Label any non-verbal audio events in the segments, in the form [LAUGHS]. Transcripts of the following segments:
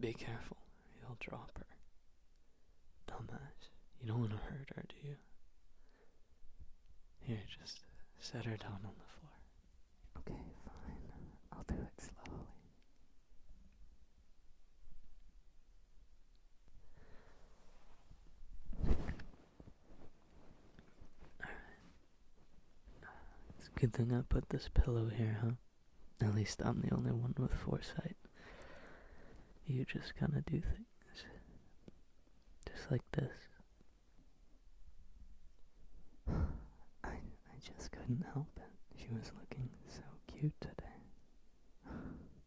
Be careful, you'll drop her. Dumbass, you don't want to hurt her, do you? Here, just set her down on the floor. Okay, fine. I'll do it slowly it's a good thing I put this pillow here, huh? At least I'm the only one with foresight. You just kind of do things. Just like this. [SIGHS] I, I just couldn't help it. She was looking so cute today. [SIGHS]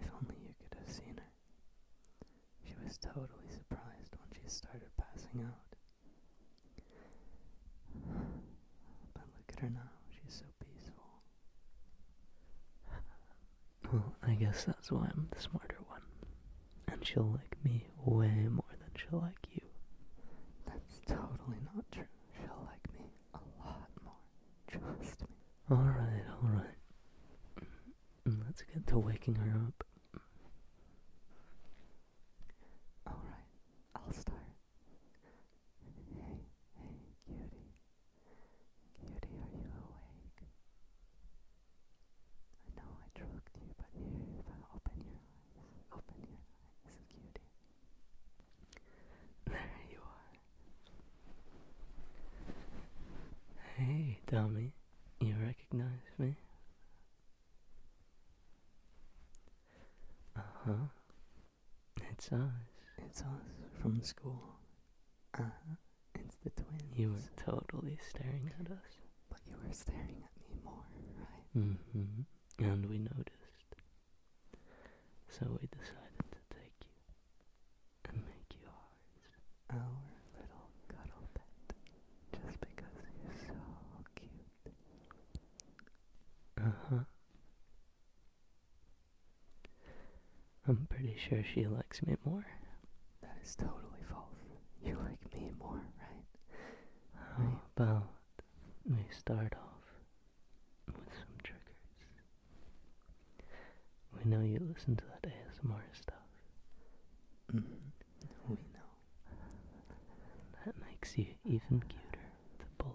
If only you could have seen her. She was totally surprised when she started passing out. But look at her now, she's so peaceful. Well, I guess that's why I'm the smarter one. And she'll like me way more than she'll like you. That's totally not true. She'll like me a lot more. Trust me. Alright, alright. Mm, let's get to waking her up. Alright, I'll start. Hey, hey, cutie. Cutie, are you awake? I know I drugged you, but here, open your eyes, open your eyes, cutie. There you are. Hey, dummy, you recognize me? Uh huh. It's us. It's us from school. Uh huh. It's the twins. You were totally staring at us. But you were staring at me more, right? Mm hmm. And we noticed. So we decided to take you you and make you ours, our little cuddle pet, just because you're so cute. Uh huh. I'm pretty sure she likes me more. That is totally false. You like me more, right? How about we start off with some triggers. We know you listen to that ASMR stuff. Mm-hmm. We know. That makes you even cuter, the bully.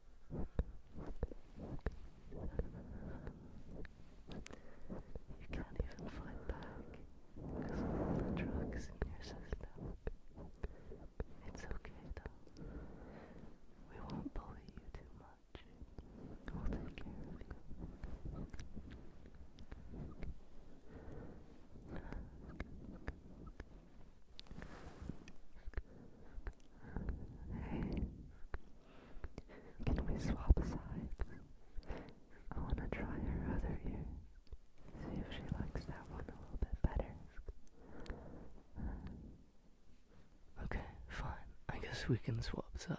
You can't even fight back because drugs in your system. It's okay though. We won't bully you too much. We'll take care of you. Hey, can we swap sides? I want to try her other ear. See if she likes that one a little bit better. Okay, fine. I guess we can swap sides.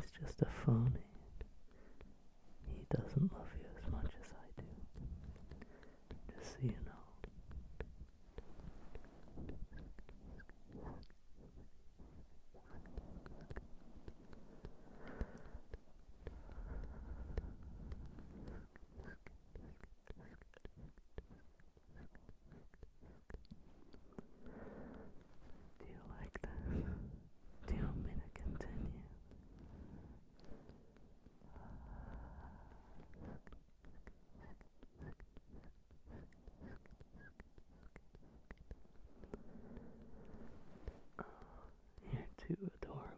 He's just a phony. He doesn't love you as much as I do. Just so you know. Do you like this? Do you want me to continue? Oh, you're too adorable.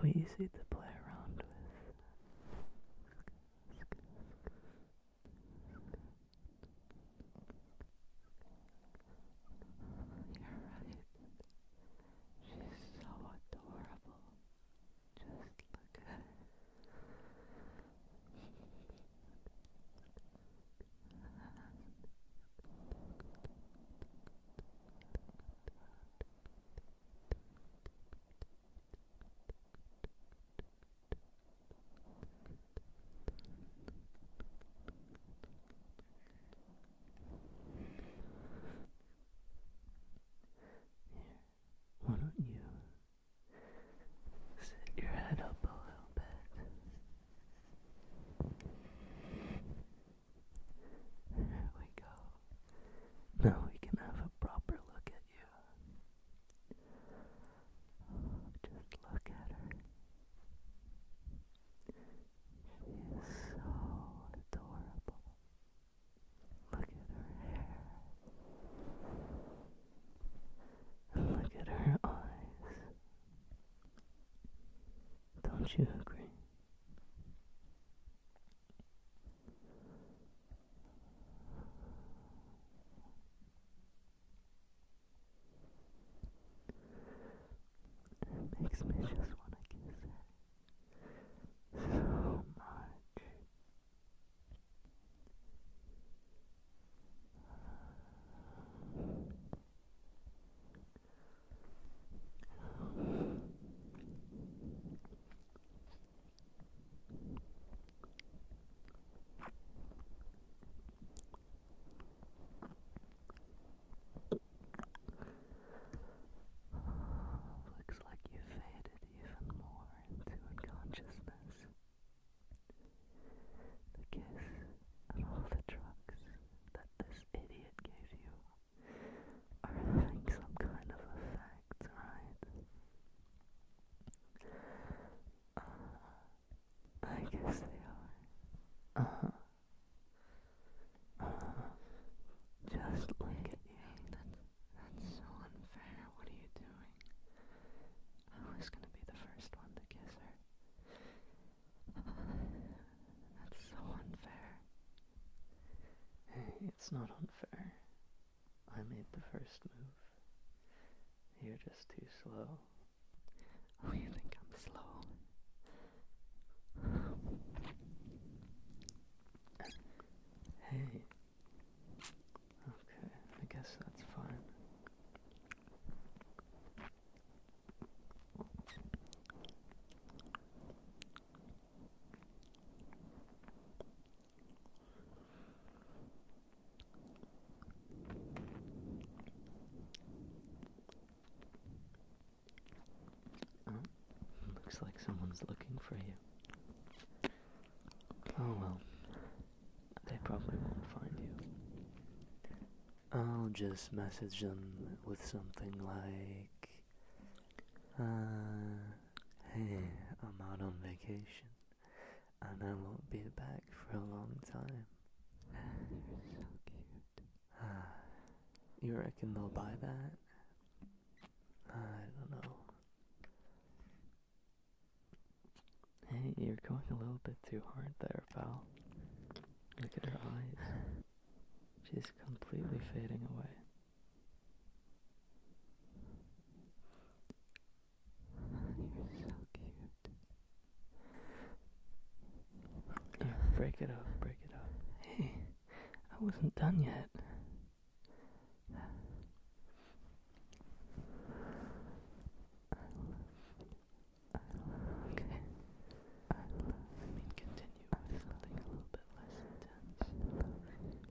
so easy to play around with. You're right. She's so adorable. Just look at her why don't you sit your head up a little bit? There we go. Now we can have a proper look at you. just look at her. She is so adorable. Look at her hair. look at her eyes. Don't you agree? It makes me just want to kiss her so much. Looks like you faded even more into unconsciousness. The kiss and all the drugs that this idiot gave you are having some kind of effect, right? Uh, I guess they are. Uh huh. Uh huh. Just look at you. that's so unfair. What are you doing? I was gonna be the first one to kiss her. That's so unfair. it's not unfair. I made the first move. You're just too slow. Oh, you think I'm slow? hey. Okay, I guess that's fine. Oh, looks like someone's looking for you. Oh well, they probably won't find you. I'll just message them with something like, uh, hey, I'm out on vacation and I won't be back for a long time. You're so cute. you reckon they'll buy that? I don't know. Hey, you're going a little bit too hard there, pal. Look at her eyes. She's completely fading away break it up, break it up. Hey, I wasn't done yet. okay. I mean, continue with something a little bit less intense.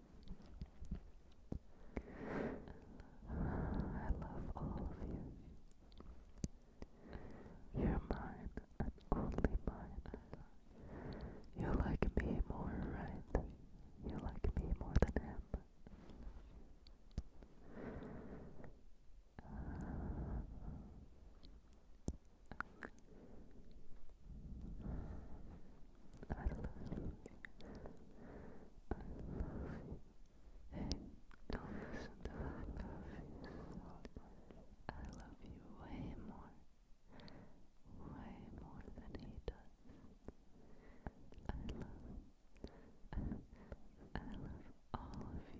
I love all of you. You're mine and mine. You like me more, right? You like me more than him. I love you. I love you. Hey, don't listen to I love you way more. Way more than he does. I love I, love all of you.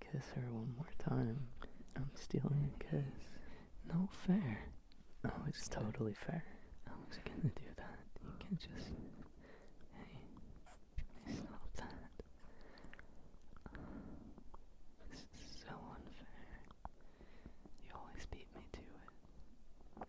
kiss her one more time. I'm stealing a kiss. No fair. oh, it's totally fair. I was gonna do that. You can just. Hey, stop that. this is so unfair. You always beat me to it.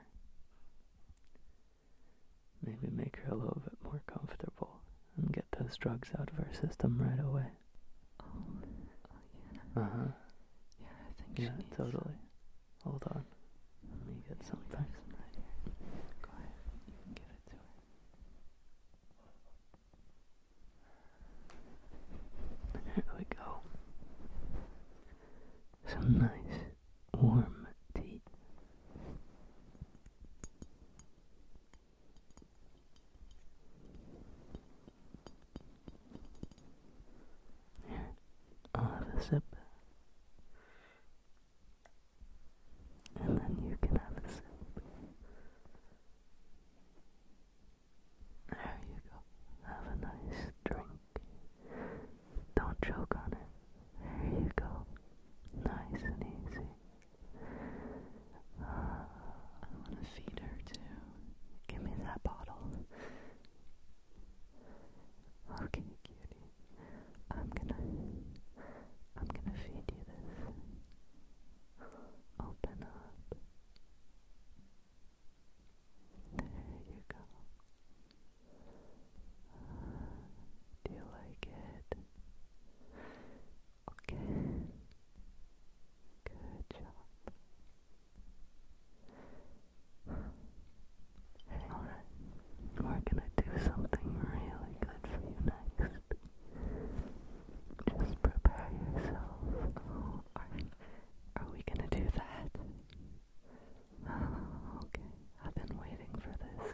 Maybe make her a little bit more comfortable and get those drugs out of her system right away. Oh, yeah. Uh huh. Yeah, totally. Hold on. Let me get Some here. [LAUGHS] we go some nice warm tea. have a sip. And then you can have a sip. There you go. Have a nice drink. Don't choke on it. There you go. Nice and easy. I want to feed her too. Give me that bottle. Okay, cutie. I'm gonna I'm gonna feed you this. Open up. There you go. Do you like it? Okay. Good job. alright. We're gonna do something really good for you next. Just prepare yourself. are we gonna do that? okay, I've been waiting for this.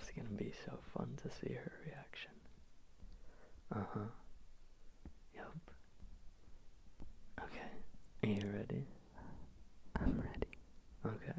it's gonna be so fun to see her reaction. Uh huh. Yup. Okay, are you ready? I'm ready. Okay.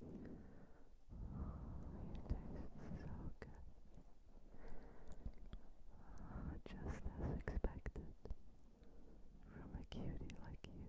so good. Oh, just as expected from a cutie like you.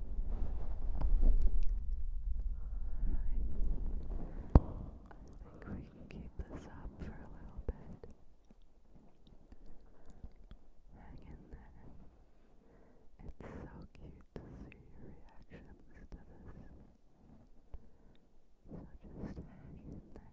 I think we can keep this up for a little bit. Hang in there. It's so cute to see your reactions to this. So just hang in there.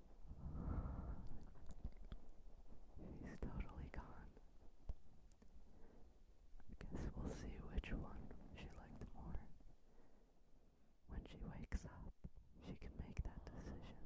He's totally gone. I guess we'll see which one she liked more. When she wakes up, she can make that decision.